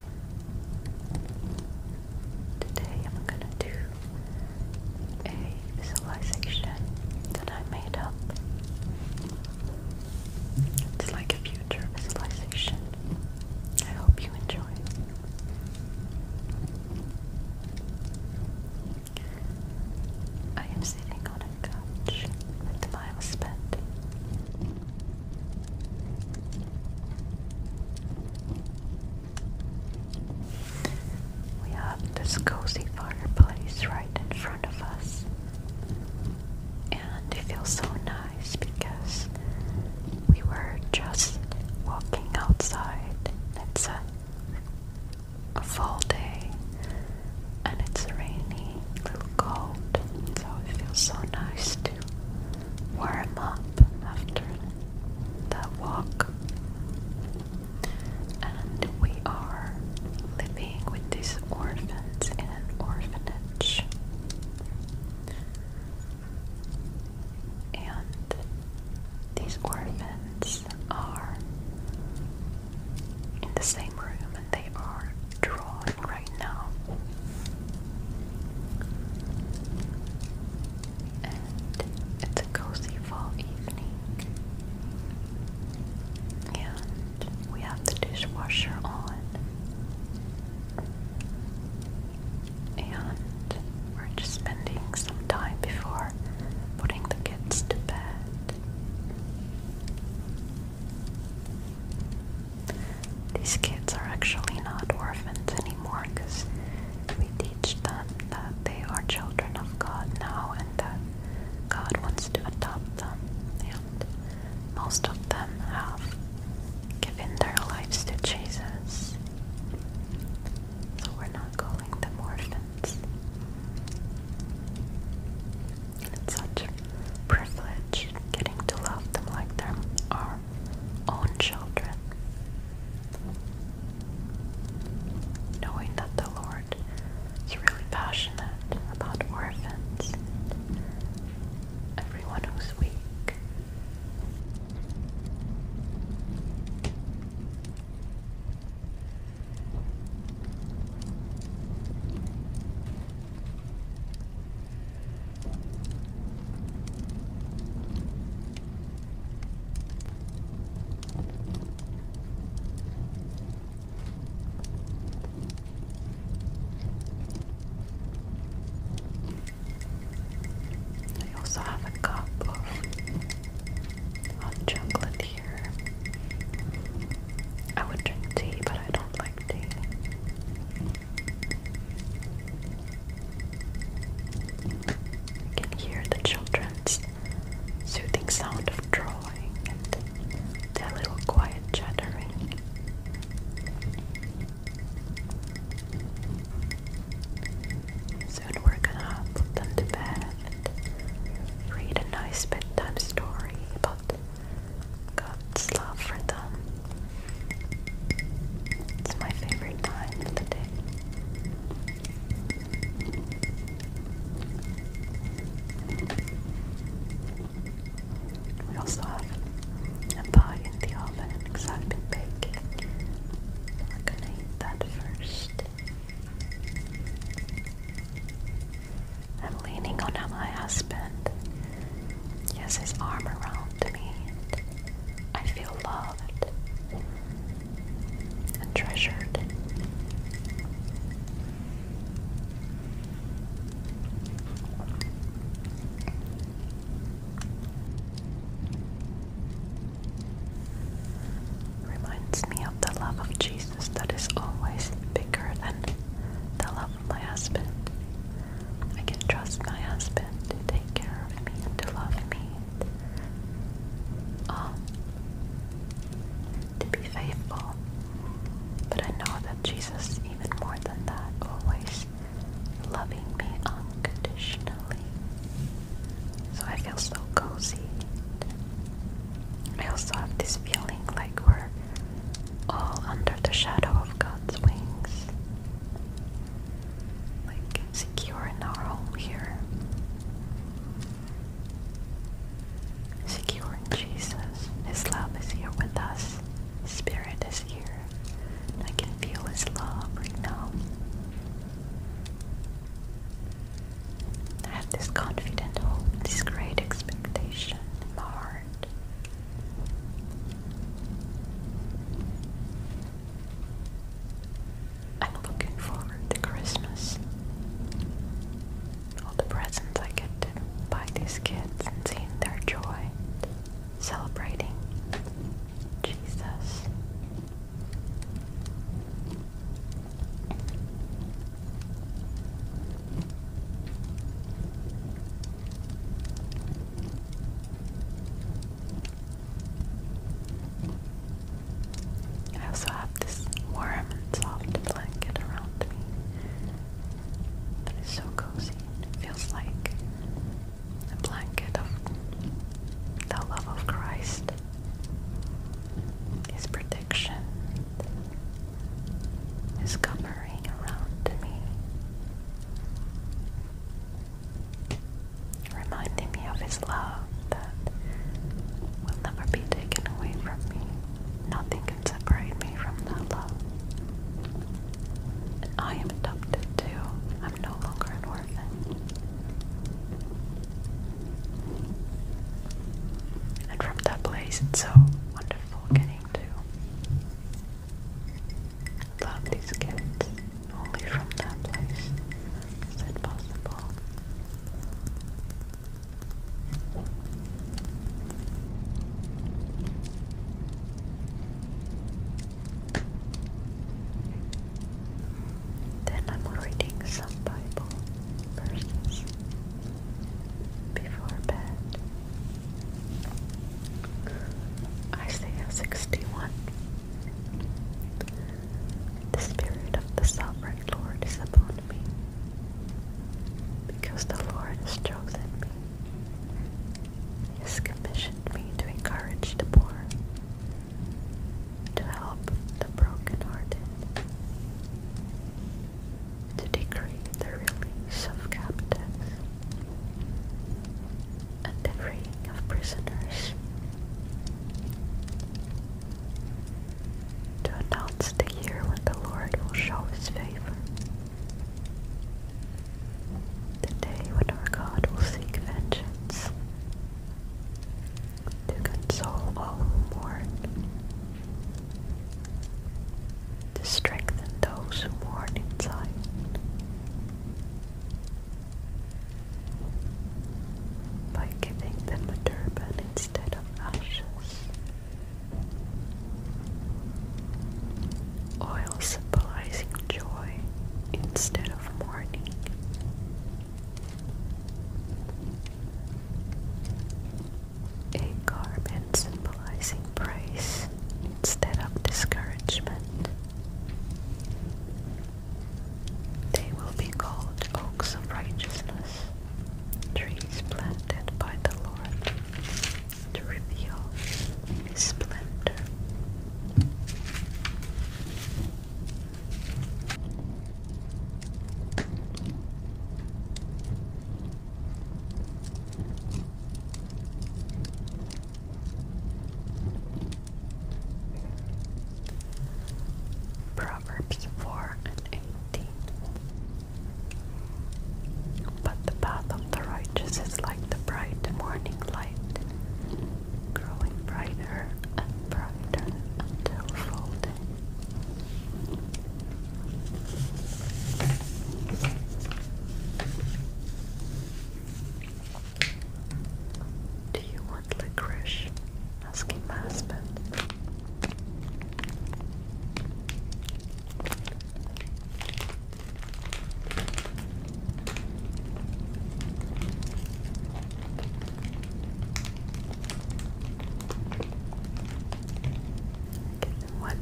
Today I'm going to do a visualization that I made up. It's like a future visualization. I hope you enjoy. I am sitting on a couch with my husband. We have this cozy fireplace right in front of us, and it feels so nice because we were just walking outside. It's a, fall day, and it's rainy, a little cold, so it feels so nice too warm up after that walk. And we are living with these orphans in an orphanage. And these orphans are in the same room and they are drawing right now. And it's a cozy fall evening. And we have the dishwasher on. And we're just spending some time before putting the kids to bed. These kids are actually not orphans anymore because we teach them that they are children of God now and that God wants to adopt them. And most of them have given their lives to Jesus. So we're not calling them orphans. it's such privilege getting to love them like they are own children, knowing that the Lord is really passionate about orphans everyone who's weak. I also have a cup of hot here. I would drink tea, but I don't like tea. You can hear the children's soothing sound of drawing and their little quiet chattering. Soon we're gonna put them to bed read a nice bedtime story God's love for them. It's my favorite time of the day. We also a pie in the oven because I've gonna eat that first. I'm leaning on my husband he has his arm around me. And I feel loved and treasured. Reminds me of the love of Jesus that is always bigger than the love of my husband. I can trust my husband to take care of me and to love me. Um, to be faithful. But I know that Jesus, even more than that, always loving me unconditionally. So I feel so cozy. I also have this feeling like we're all under the shadow of God's wings. Like secure in our home here. Secure in Jesus. His love is here with us. His spirit is here. I can feel his love right now. I have this confident this great expectation in I'm looking forward to Christmas. All the presents I get by these kids and seeing their joy, celebrating Jesus. I also have this warm and soft blanket around me that is so cozy. It feels like a blanket of the love of Christ, His protection, is hovering around me, reminding me of His love that will never be taken away from me. Nothing can separate me from that love. I am adopted too. I'm no longer an And from that place, it's so wonderful getting me these gifts only from that place. Is it possible? Then I'm reading some Bible verses before bed. Isaiah 61 The Spirit of the Sovereign Lord is upon me, because the Lord has chosen me. He has commissioned me to encourage the poor, to help the brokenhearted, to decree the release of captives and the freeing of prisoners, to announce the year when the Lord will show his favor, the day when our God will seek vengeance, to console all the mourn to strengthen those who mourn inside. By giving them a turban instead of ashes. Oil symbolizing joy instead of mourning a garment symbolizing praise instead of discouragement. They will be called oaks of righteousness, trees planted by the Lord to reveal His splendor. Proverbs 4 and 18. But the path of the righteous is like the bright morning light, growing brighter and brighter until full day. Do you want licorice? Asking my husband. Give them one.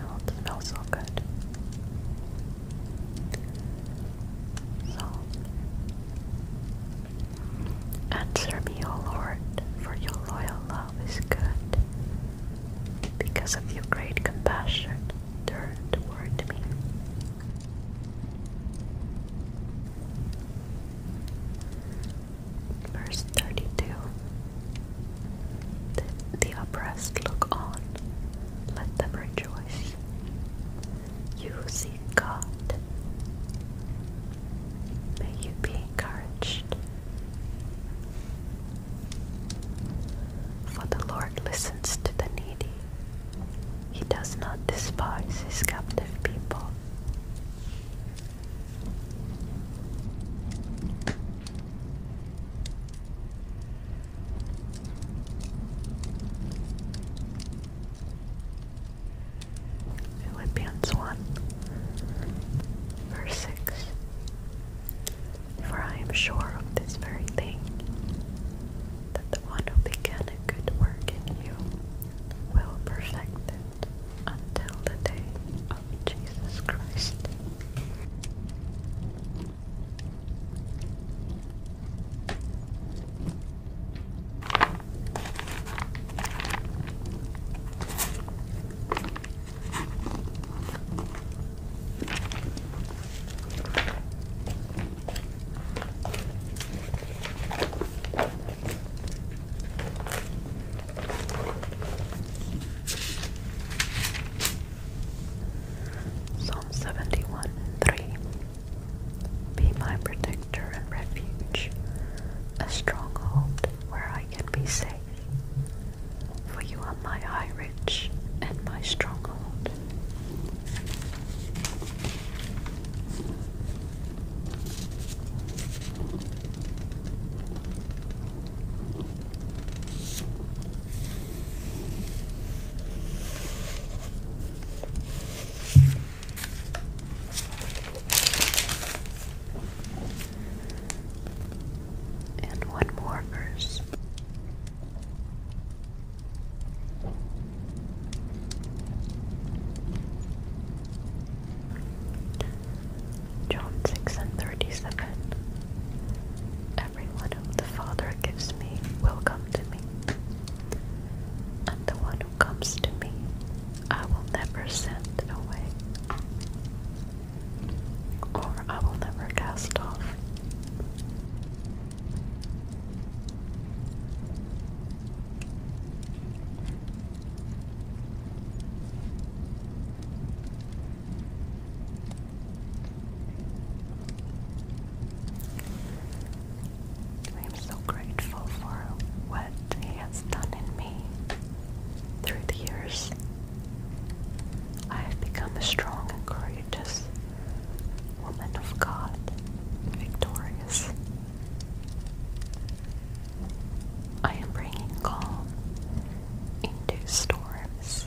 Oh, it smells so good. So, answer me, O Lord, for your loyal love is good. Because of your great compassion, turn toward me. Verse 32 the, oppressed look on, let them rejoice. You seek God. May you be encouraged. For the Lord listens to the needy, He does not despise His captive people. Philippians 1, verse 6 For I am sure of this very thing, that the one who began a good work in you will perfect it until the day of Jesus Christ. Psalm 71 3 Be my protector and refuge, a stronghold where I can be safe. For you are my high ridge and my stronghold. And one more verse. John 6 and 37. Everyone whom the Father gives me will come to me, and the one who comes to me I will never send away, or I will never cast off. I am so grateful for what He has done in me through the years. I have become a strong and courageous woman of God, victorious I am bringing calm into storms.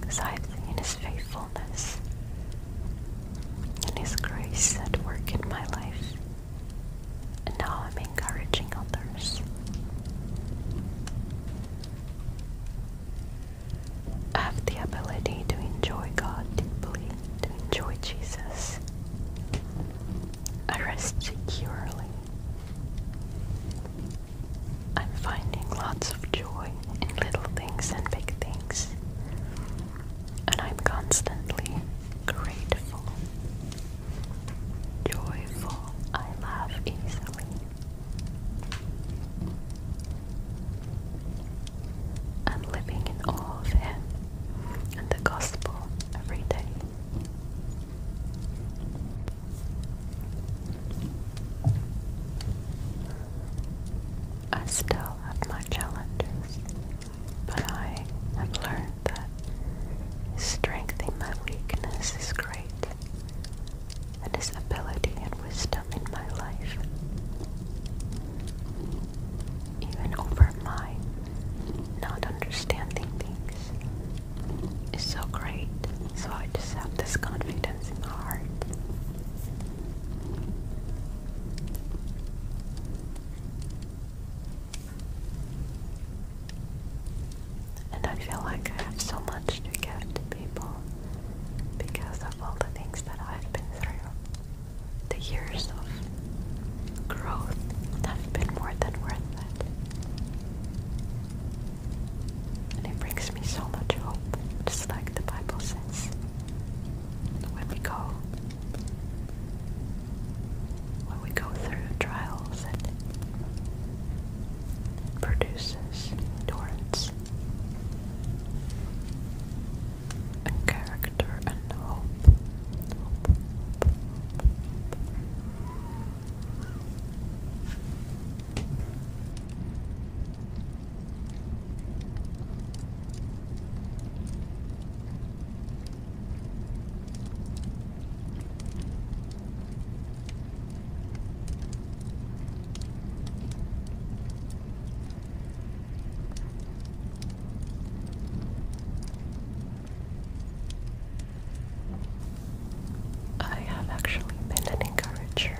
Because I have His faithfulness and His grace at work in my life, and now I'm encouraging others. I have the ability to enjoy God deeply, to enjoy Jesus, I rest securely. I'm finding lots of joy in little things and big things, and I'm constantly grateful, joyful. I laugh easily. I'm living in awe of Him and the Gospel every day. I still have my challenges, but I have learned that strengthening my weakness is great, and His ability wisdom in my life, even over my not understanding things, is so great. So I just have this confidence in my heart. And I feel like I have so much to give to people because of all the things that I've been through. The years of growth have been more than worth it. And it brings me so much hope, just like the Bible says. When we go, when we go through trials, it produces endurance and character and hope. hope. I have actually been an encourager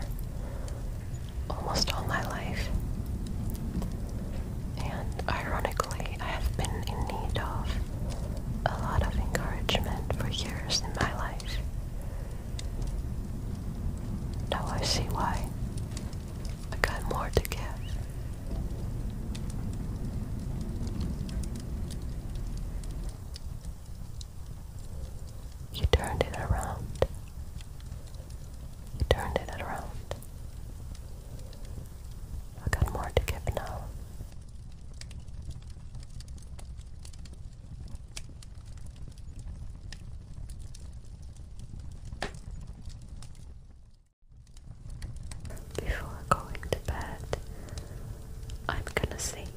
almost all my life. And ironically, I have been in need of a lot of encouragement for years in my life. Now I see why. I got more to give. You turned it around. You turned it around. I got more to give now. Before going to bed, I'm gonna sing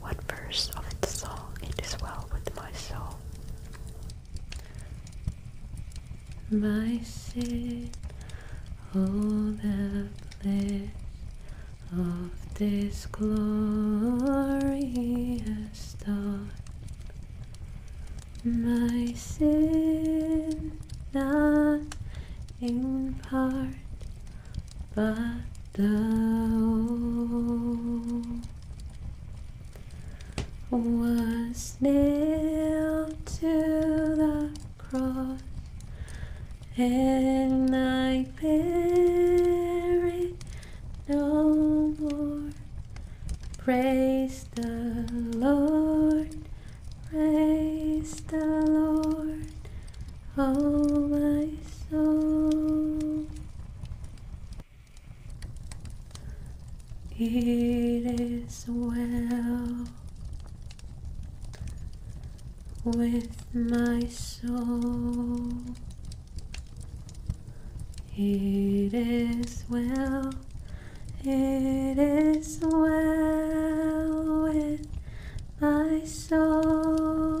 one verse of the song It Is Well With My Soul. My sin, oh the bliss of this glorious dawn. My sin, not in part, but the whole, was nailed to the cross, and I buried no more. Praise the Lord, praise the Lord, oh my soul. It is well with my soul. It is well, it is well with my soul.